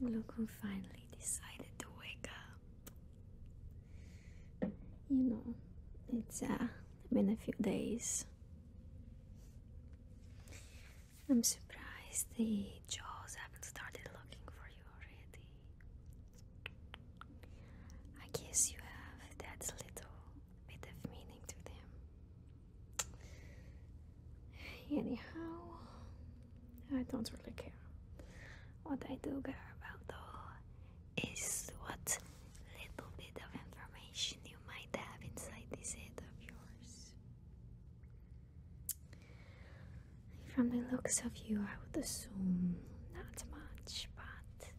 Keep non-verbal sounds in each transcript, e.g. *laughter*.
Look who finally decided to wake up. You know, it's uh, been a few days. I'm surprised the jaws haven't started looking for you already. I guess you have that little bit of meaning to them. Anyhow, I don't really care. What I do care about though is what little bit of information you might have inside this head of yours. From the looks of you, I would assume not much, but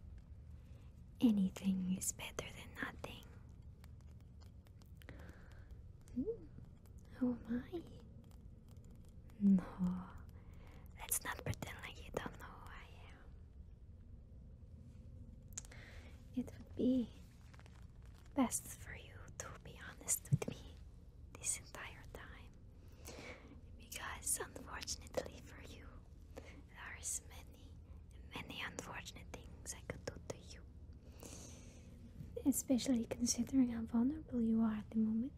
anything is better than nothing. Oh my. No, let's not pretend like you don't know who I am. It would be best for you to be honest with me this entire time. Because, unfortunately for you, there is many, many unfortunate things I could do to you. Especially considering how vulnerable you are at the moment.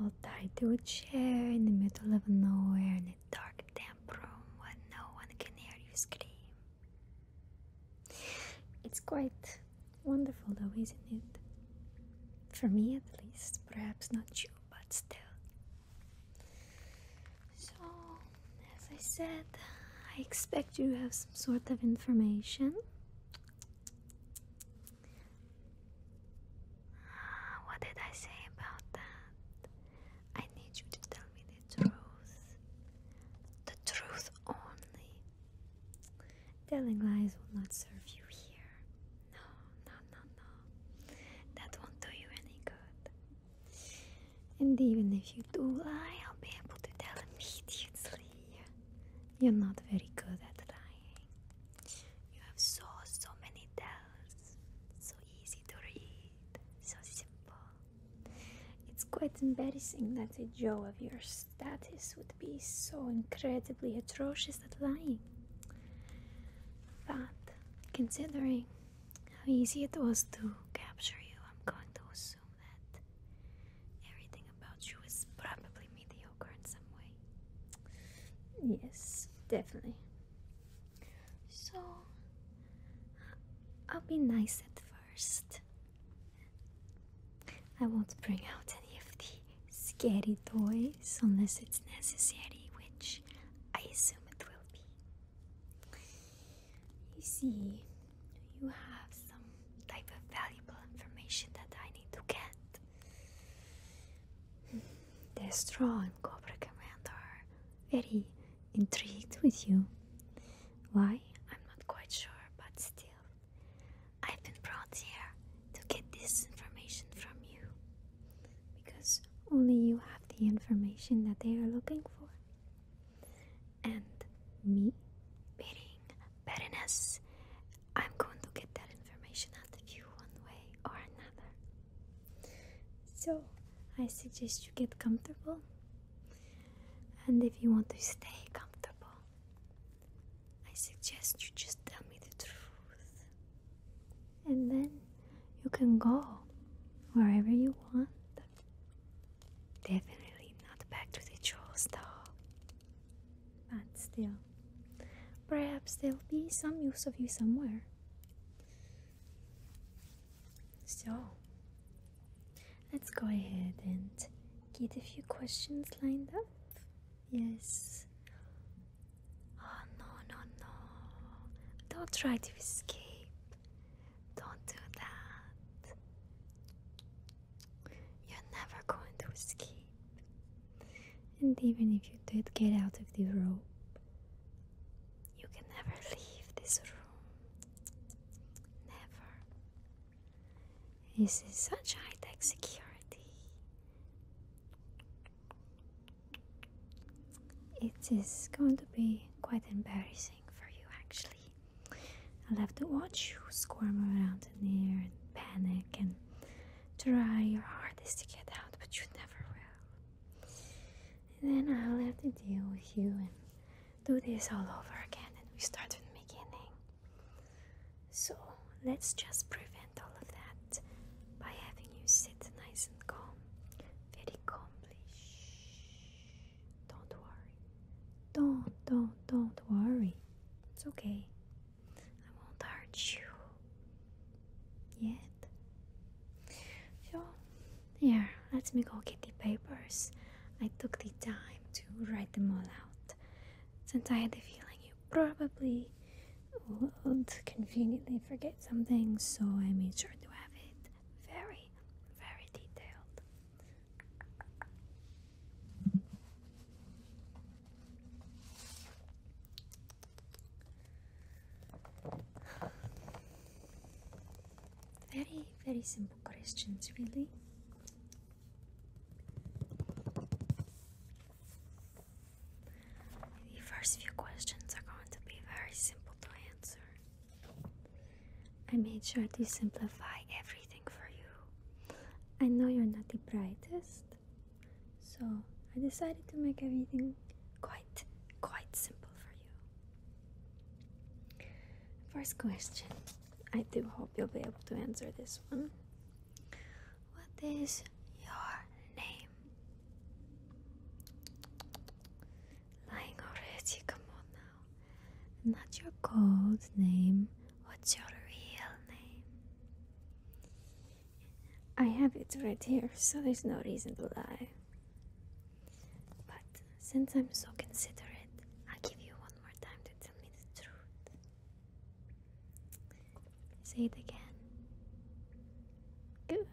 All tied to a chair in the middle of nowhere in a dark, damp room when no one can hear you scream. It's quite Wonderful, though, isn't it? For me, at least. Perhaps not you, but still. So, as I said, I expect you have some sort of information. Uh, what did I say about that? I need you to tell me the truth. The truth only. Telling lies will not serve you here. No, no, no, no. That won't do you any good. And even if you do lie, I'll be able to tell immediately. You're not very good at lying. You have so, so many tells. So easy to read. So simple. It's quite embarrassing that a Joe of your status would be so incredibly atrocious at lying. But considering how easy it was to capture you, I'm going to assume that everything about you is probably mediocre in some way. Yes, definitely. So I'll be nice at first I won't bring out any of the scary toys unless it's necessary, which I assume it will be. You see, you have some type of valuable information that I need to get. The Straw and Cobra Command are very intrigued with you. Why? I'm not quite sure, but still. I've been brought here to get this information from you because only you have the information that they are looking for. And me, being Baroness, I'm going to get that information out of you one way or another. So I suggest you get comfortable. And if you want to stay comfortable, I suggest you just tell me the truth. And then you can go wherever you want. Definitely not back to the jewels, though. But still, perhaps there'll be some use of you somewhere. So, let's go ahead and get a few questions lined up. Yes. Oh no, no, no. Don't try to escape. Don't do that. You're never going to escape. And even if you did get out of the rope, you can never leave this room. Never. This is such high tech security. It is going to be quite embarrassing for you, actually. I'll have to watch you squirm around in here and panic and try your hardest to get out, but you never will. then I'll have to deal with you and do this all over again, and we start from the beginning. So let's just prevent all of that by having you sit nice and calm, very calm. Shh. Don't worry. Don't, don't, don't worry. It's okay. I won't hurt you yet. So, here, let me go get the papers. I took the time to write them all out since I had the feeling you probably would conveniently forget something, so I made sure to have it very, very detailed. Very, very simple questions, really. The first few questions are going to be very simple to answer. I made sure to simplify everything for you. I know you're not the brightest, so I decided to make everything quite, quite simple for you. First question I do hope you'll be able to answer this one. What is your name? Lying already, come on now. Not your code name. What's your real name? I have it right here, so there's no reason to lie. But since I'm so considerate, I'll give you one more time to tell me the truth. Say it again. Good,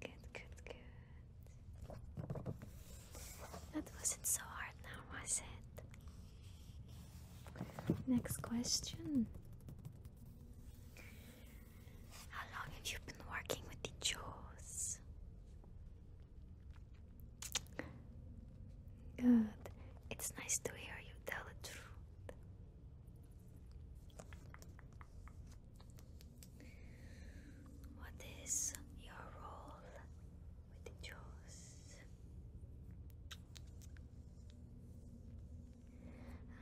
good, good, good. That wasn't so hard now, was it? Next question. How long have you been working with the Jaws? Good. It's nice to hear you tell the truth. What is your role with the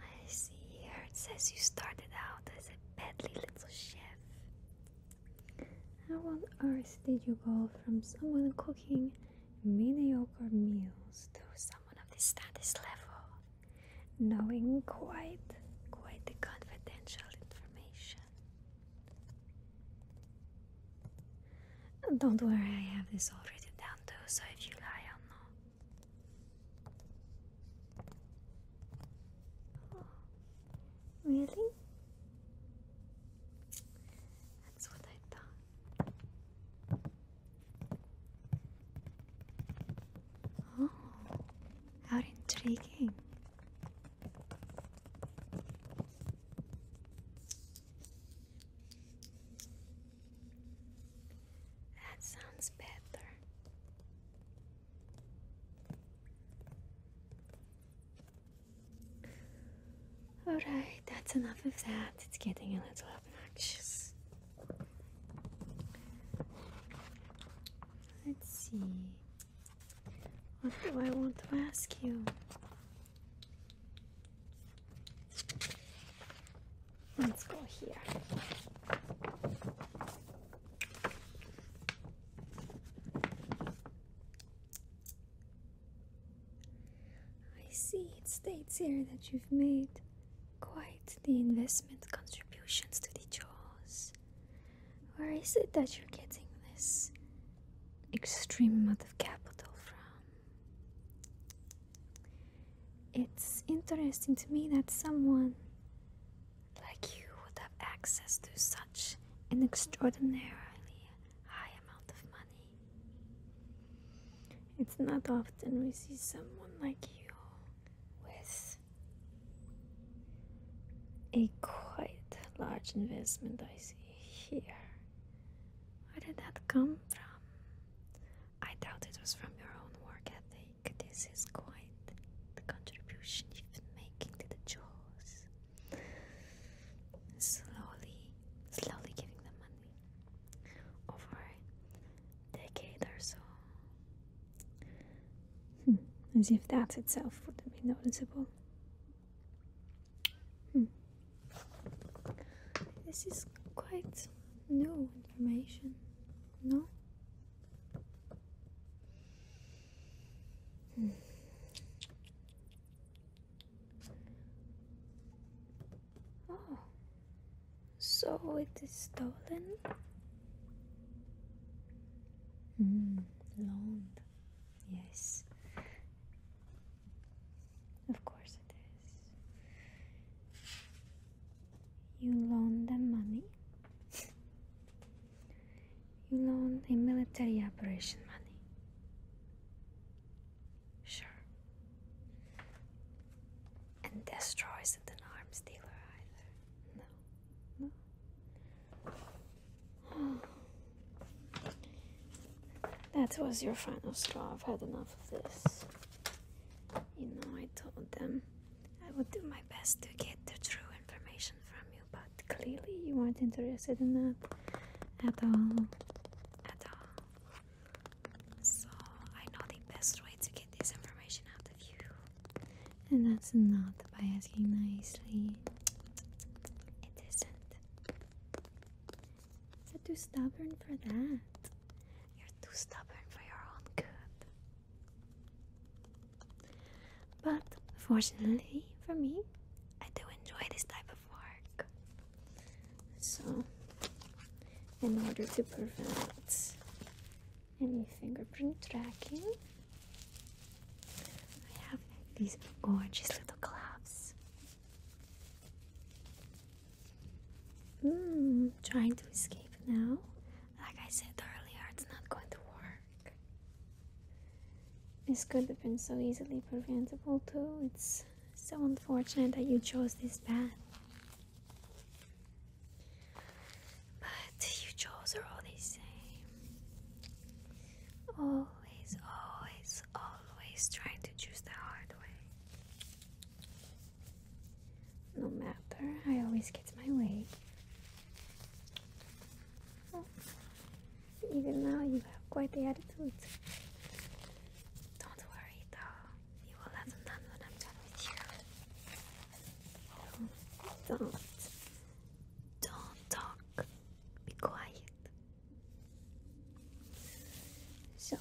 I see here says you started out as a peddly little chef. How on earth did you go from someone cooking mediocre meals to someone of this status level, knowing quite, quite the confidential information? Don't worry, I have this all written down too, so if you lie, I'll know. Oh, really? That's what I thought. Oh, how intriguing. That sounds better. Alright, that's enough of that. It's getting a little obnoxious. Let's see. What do I want to ask you? Let's go here. I see it states here that you've made quite the investment contributions to the jaws. Where is it that you're getting this extreme amount of capital from? It's interesting to me that someone like you would have access to such an extraordinarily high amount of money. It's not often we see someone like you with a quite large investment I see here. Where did that come from? I doubt it was from your own work ethic. This is quite the contribution you've been making to the chores slowly, slowly giving them money over a decade or so. Hmm, as if that itself wouldn't be noticeable. Hmm. This is quite new information, no? Hmm. Oh, so it is stolen. Mm, loaned, yes. Of course it is. You loaned them money. *laughs* You loan a military operation money. Sure. And destroys is an arms dealer either. No. No. *gasps* That was your final straw. I've had enough of this. You know, I told them I would do my best to get the true information from you but clearly you aren't interested in that at all. At all. So I know the best way to get this information out of you. And that's not by asking nicely. It isn't. You're too stubborn for that. You're too stubborn for your own good. But fortunately for me, I do enjoy this type of work. So, in order to prevent any fingerprint tracking, I have these gorgeous little gloves. Mmm, trying to escape now. Like I said earlier, it's not going to work dark. This could have been so easily preventable too. It's so unfortunate that you chose this path. But you chose are all the same. Always, always, always trying to choose the hard way. No matter, I always get my way even now you have quite the attitude. Don't worry though, you will have them when I'm done with you. So don't talk, be quiet. So,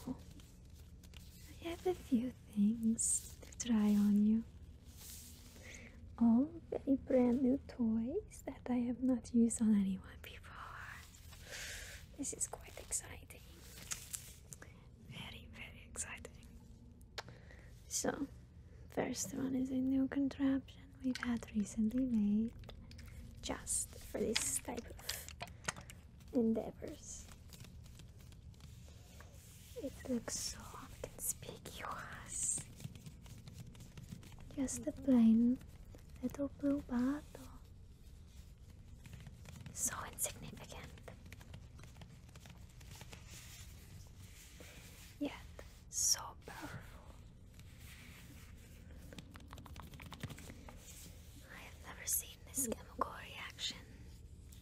I have a few things to try on you all very brand new toys that I have not used on anyone before. This is quite exciting. Very, very exciting. So, first one is a new contraption we've had recently made just for this type of endeavors. It looks so conspicuous. Just a plain little blue bottle. So insignificant. Yet so powerful. I have never seen this chemical reaction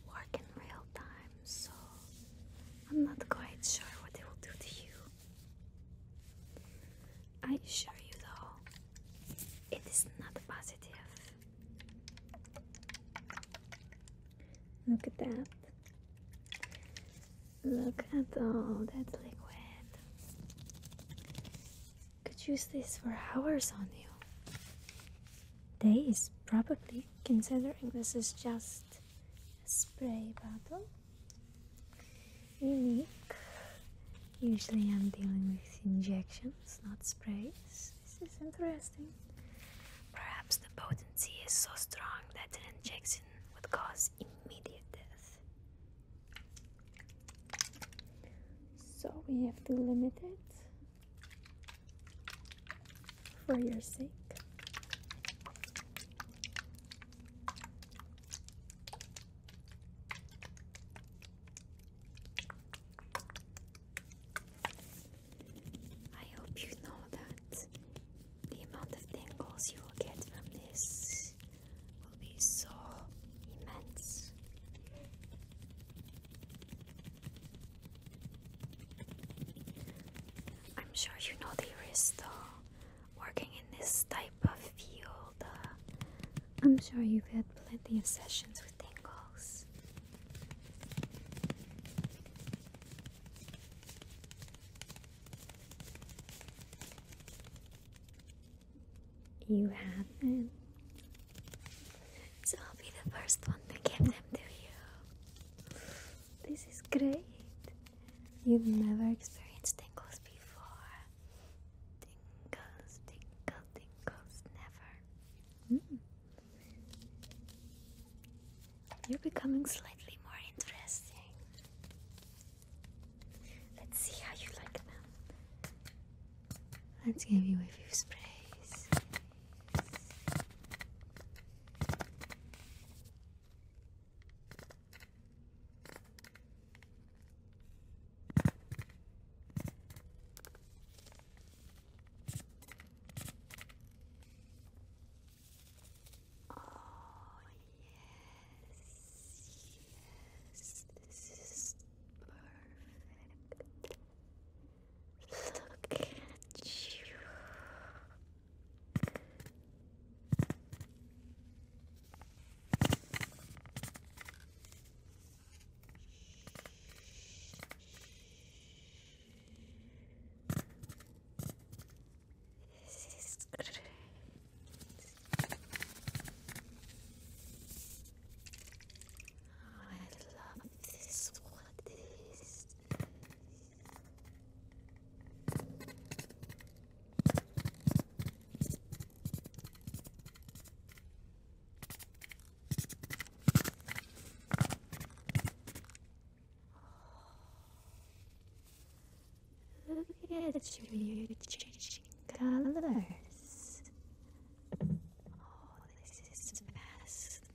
work in real time, so I'm not quite sure what it will do to you. I assure you, though, it is not positive. Look at that. Look at all that liquid. Could use this for hours on you. Days, probably, considering this is just a spray bottle unique. Usually I'm dealing with injections, not sprays. This is interesting. Perhaps the potency is so strong that an injection would cause immediate death. So we have to limit it for your sake. I hope you know that the amount of tingles you will get from this will be so immense. I'm sure you know the wrist though working in this type of field, uh, I'm sure you've had plenty of sessions with tingles. You haven't. So I'll be the first one to give them to you. This is great. You've never experienced tingles before. Tingles, tingles, tingles, never. Hmm. You're becoming slightly more interesting. Let's see how you like them. Let's give you a few sprays. Oh, yes, yes, this is perfect. Look at you. I love this. What is Look at you changing colors. Oh, this is fast.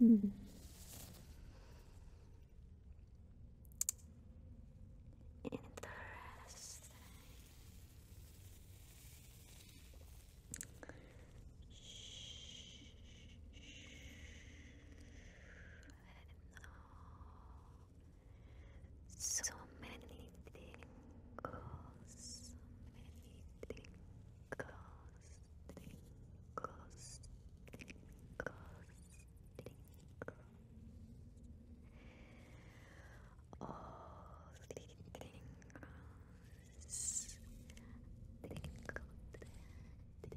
Hmm. Interesting. Shh. No. So many tingles, many tingles, tingles, tingles, tingles. All the tingles, tingled, tingled, tingled,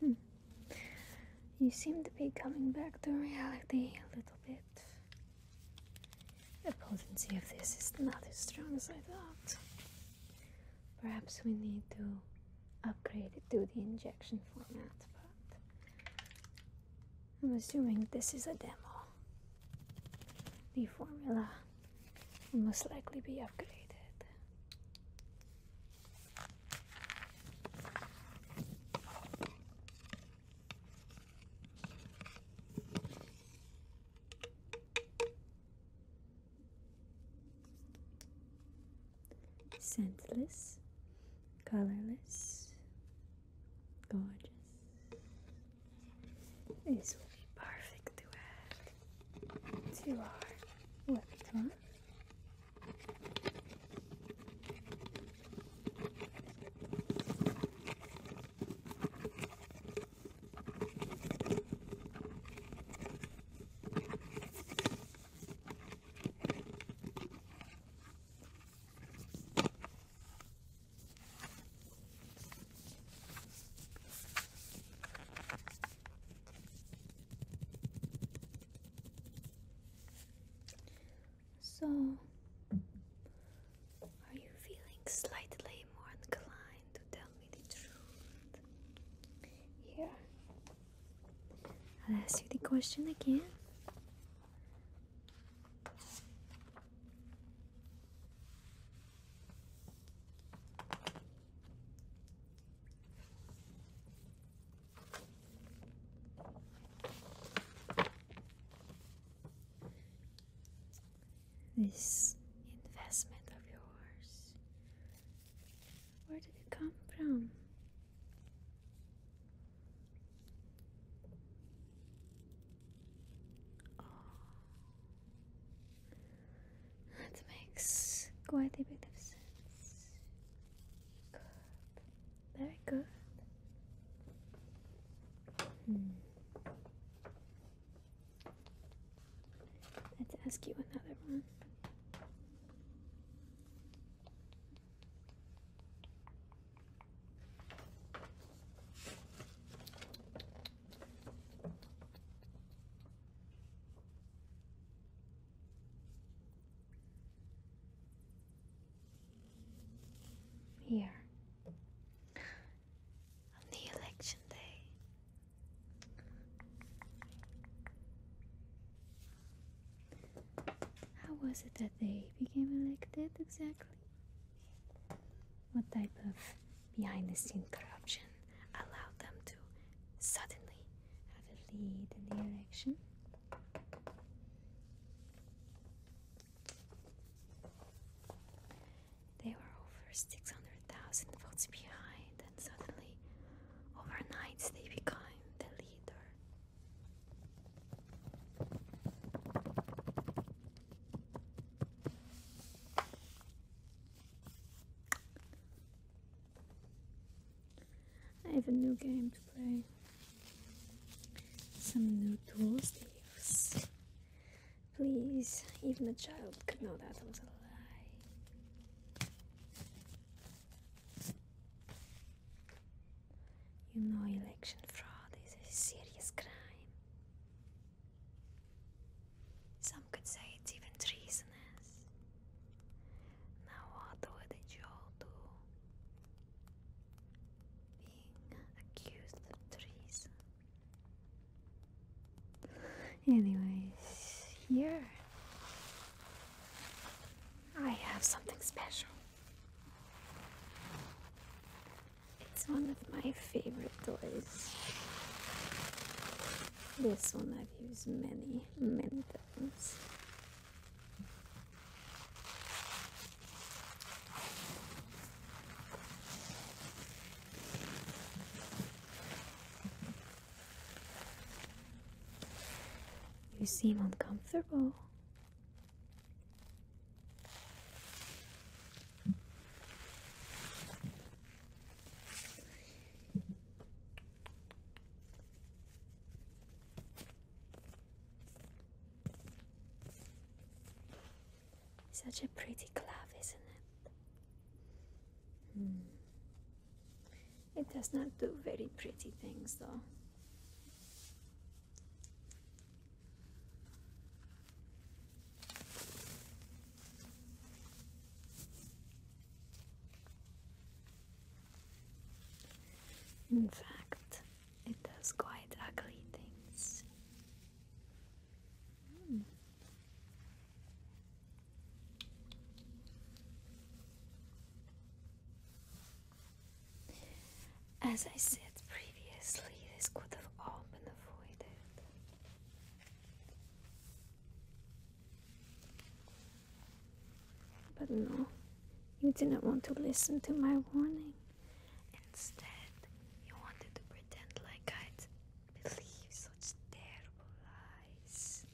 Hmm. You seem to be coming back to reality a little bit. The potency of this is not as strong as I thought. Perhaps we need to upgrade it to the injection format, but I'm assuming this is a demo. The formula will most likely be upgraded. Senseless, colorless, gorgeous. This will be perfect to add to our repertoire. So, are you feeling slightly more inclined to tell me the truth? Yeah, I'll ask you the question again. This investment of yours where did it come from? Oh. That makes quite a bit of sense. Very good. Hmm. Let's ask you another one. Here on the election day, how was it that they became elected exactly? What type of behind the scenes corruption allowed them to suddenly have a lead in the election? They were over 600,000 votes behind then suddenly, overnight, they become the leader. I have a new game to play. Some new tools to use. Please, even a child could know that was a lie. You know, election fraud is a serious crime. Some could say it's even treasonous. Now, what would a Joe do? Being accused of treason. Anyways, here I have something special. It's one of my favorite toys. This one I've used many, many times. You seem uncomfortable. Such a pretty glove, isn't it? Mm. It does not do very pretty things though. In fact, it does quite ugly things. Hmm. As I said previously, this could have all been avoided. But no, you didn't want to listen to my warning. Instead, you wanted to pretend like I'd believe such terrible lies.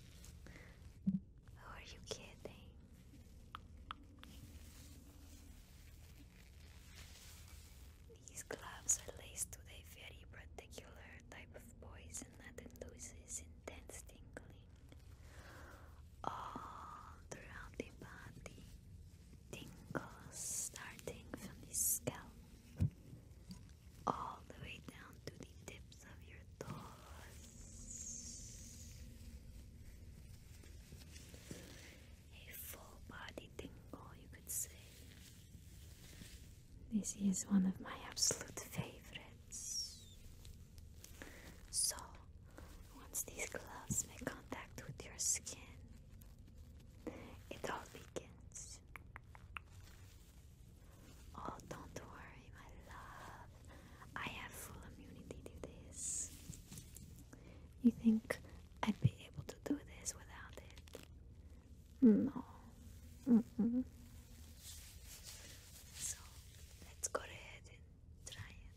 Who are you kidding? These gloves are laced with a very particular type of poison that induces intense tingling all throughout the body. Tingles starting from the scalp all the way down to the tips of your toes. A full body tingle, you could say. This is one of my absolute favorites. So, once these gloves make contact with your skin, it all begins. Oh, don't worry, my love. I have full immunity to this. You think I'd be able to do this without it? No. Mm -mm. So let's go ahead and try it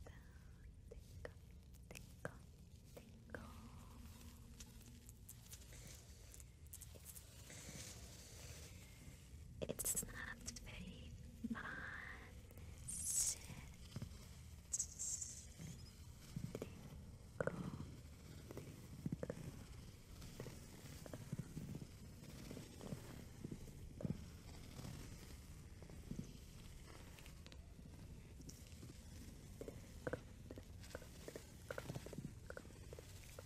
it's not very Good.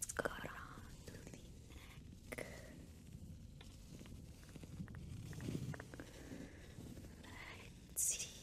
Let's go around to the neck. let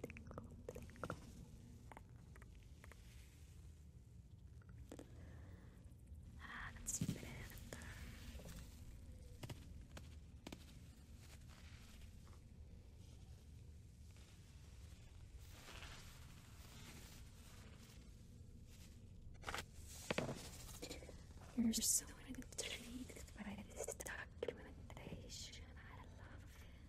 tickle, Ah, that's better. You're so intrigued by this documentation. I love it.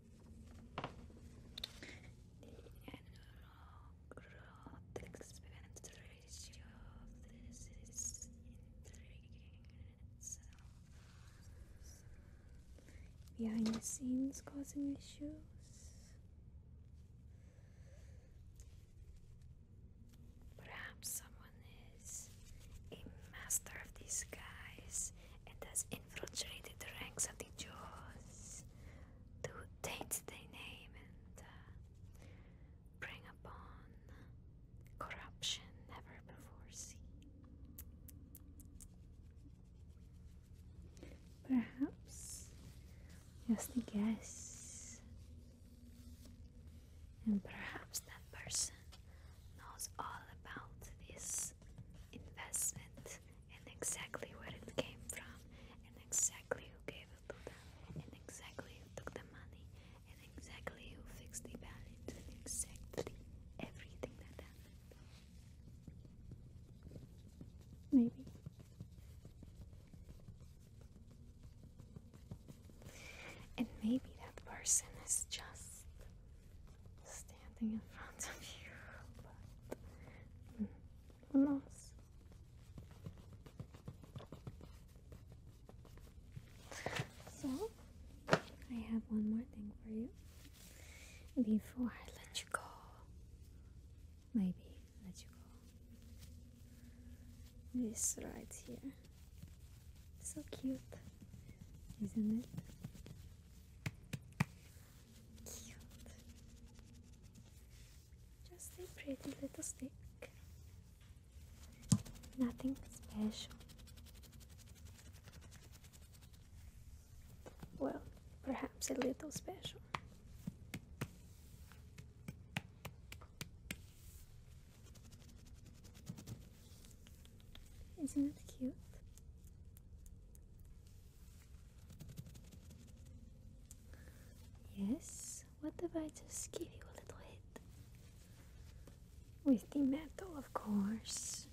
The annual growth ratio this is intriguing in itself. Behind the scenes causing issues? Perhaps someone is a master of disguise and does infiltrated the ranks of the Jews to taint their name and bring uh, upon corruption never before seen. Perhaps just a guess, and perhaps that person knows all about this investment and exactly where it came from, and exactly who gave it to them, and exactly who took the money, and exactly who fixed the balance, and exactly everything that happened. Maybe. And maybe that person is just standing in front of you, but mm, who So, I have one more thing for you before I let you go. Maybe let you go. This right here. So cute, isn't it? Just a pretty little stick. Nothing special. Well, perhaps a little special. Isn't that cute? Yes, what if I just give you a little hit? With the metal, of course.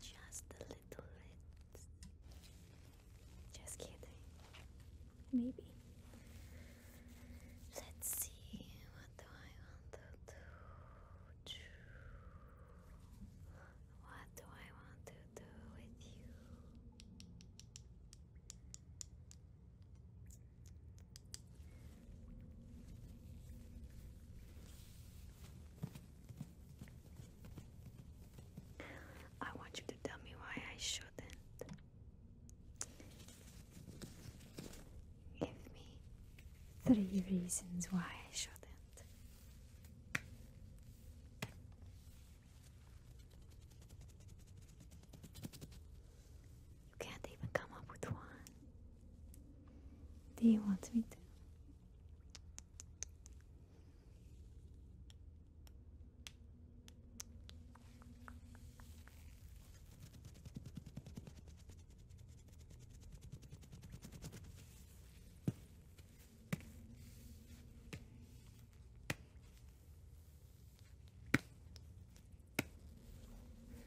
Just a little hit. Just kidding. Maybe. Let's see, what do I want to do? What do I want to do with you? I want you to tell me why I shouldn't. Give me three reasons why I shouldn't. You can't even come up with one. Do you want me to?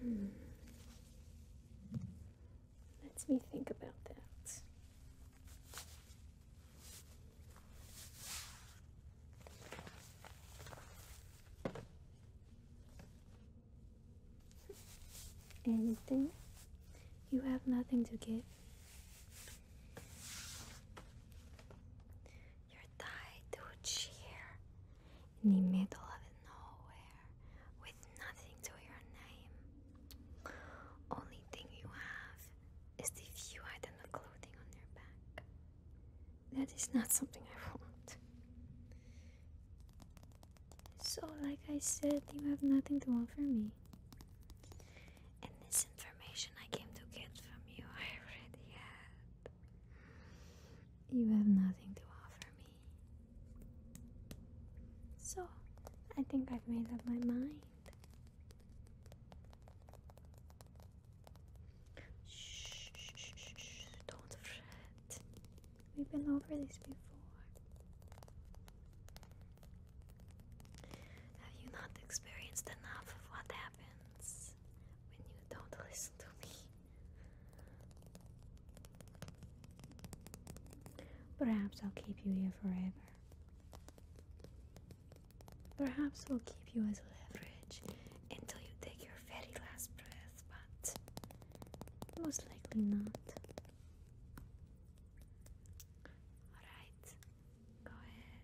Hmm. Let's me think about that anything. You have nothing to give. You're tied to a chair in the middle of nowhere with nothing to your name. Only thing you have is the few items of clothing on your back. That is not something I want. So, like I said, you have nothing to offer me. And this information I came to get from you, *laughs* I already had. You have nothing to offer me. So, I think I've made up my mind. Shh, shh, shh, shh. don't fret. We've been over this before. Have you not experienced enough of what happens when you don't listen to me? Perhaps I'll keep you here forever. Perhaps I'll keep you as leverage until you take your very last breath but most likely not. Alright, go ahead.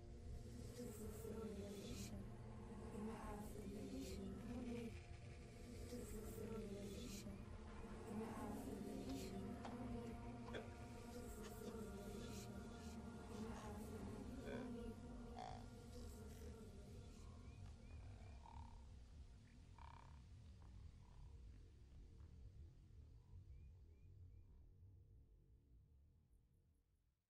to fulfill your vision in the half of the vision to fulfill your vision in the half of the vision to fulfill your vision in the half of the vision